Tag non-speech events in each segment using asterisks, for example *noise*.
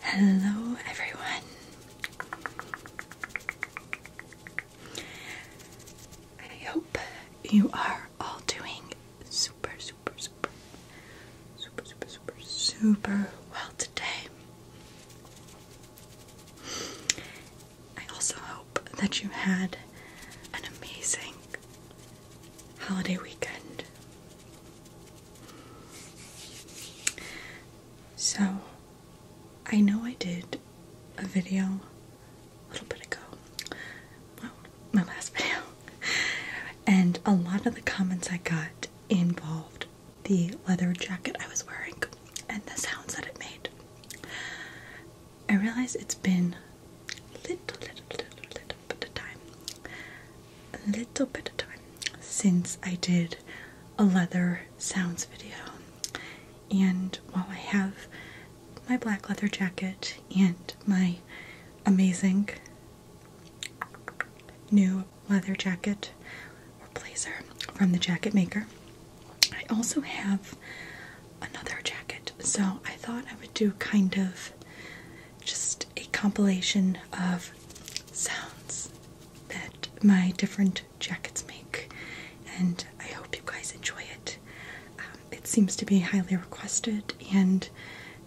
Hello, everyone. I hope you are all doing super, super, super, super, super, super, super well today. I also hope that you had an amazing holiday weekend. So, I know I did a video a little bit ago. Well, my last *laughs* video. And a lot of the comments I got involved the leather jacket I was wearing and the sounds that it made. I realize it's been a little, little, little, little bit of time, a little bit of time since I did a leather sounds video. And while I have my black leather jacket and my amazing new leather jacket or blazer from the jacket maker, I also have another jacket. So I thought I would do kind of just a compilation of sounds that my different jackets make, and I hope you guys enjoy it. Um, it seems to be highly requested, and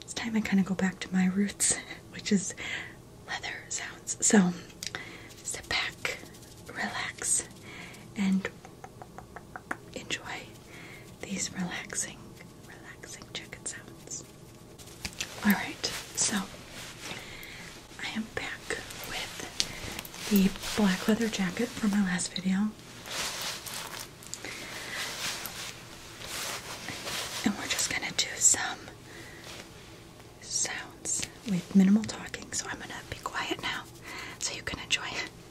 it's time I kind of go back to my roots, *laughs* which is leather sounds. So sit back, relax, and enjoy these relaxing, relaxing chicken sounds. Alright, so I am back with the black leather jacket from my last video. And we're just gonna do some sounds with minimal talking, so I'm gonna be quiet now so you can enjoy it.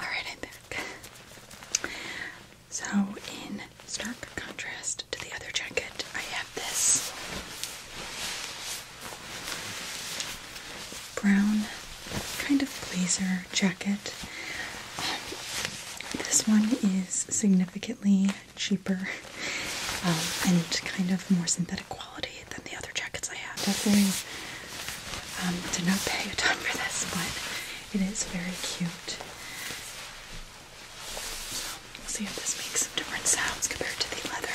Alright, I'm back. So, in stark contrast to the other jacket, I have this brown kind of blazer jacket this one is significantly cheaper um, and kind of more synthetic quality than the other jackets I have. Definitely um, did not pay a ton for this, but it is very cute. So we'll see if this makes some different sounds compared to the leather.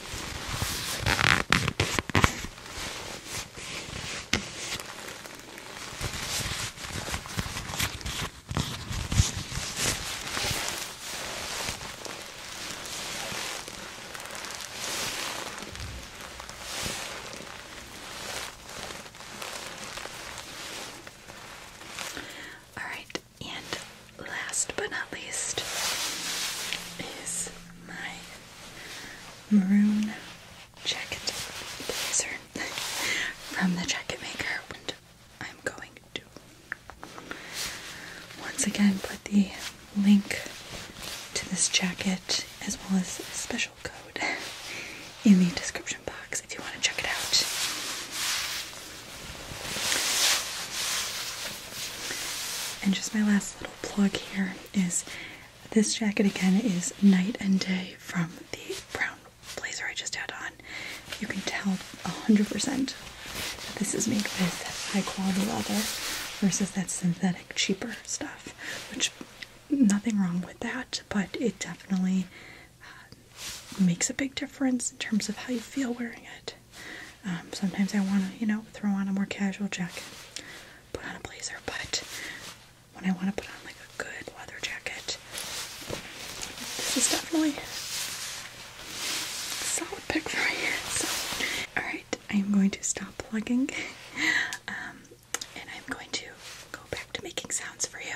All right, and last but not least is my maroon jacket *laughs* from the jacket maker I'm going to once again put the link to this jacket as well as a special code *laughs* in the description box if you want to check it out. And just my last little plug here is this jacket again is night and day from the brown blazer I just had on. You can tell 100% that this is made with high quality leather versus that synthetic, cheaper stuff, which nothing wrong with that, but it definitely uh, makes a big difference in terms of how you feel wearing it. Um, sometimes I want to, you know, throw on a more casual jacket, put on a blazer, but when I want to put on like a good weather jacket, this is definitely a solid pick for me. *laughs* So, alright, I'm going to stop plugging *laughs* um, and I'm going to go back to making sounds for you.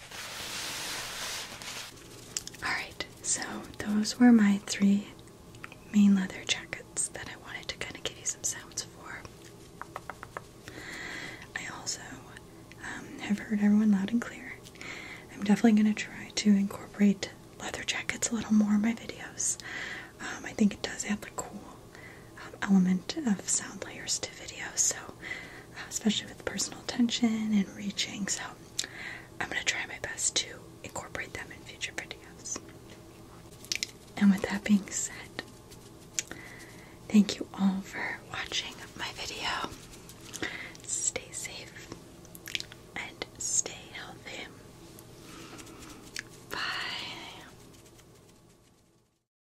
Alright, so those were my three main leather jackets that I wanted to kind of give you some sounds for. I also um, have heard everyone loud and clear. I'm definitely going to try to incorporate leather jackets a little more in my videos. Um, I think it does add the cool element of sound layers to video, so uh, especially with personal attention and reaching. So I'm gonna try my best to incorporate them in future videos. And with that being said, thank you all for watching my video. Stay safe and stay healthy. Bye.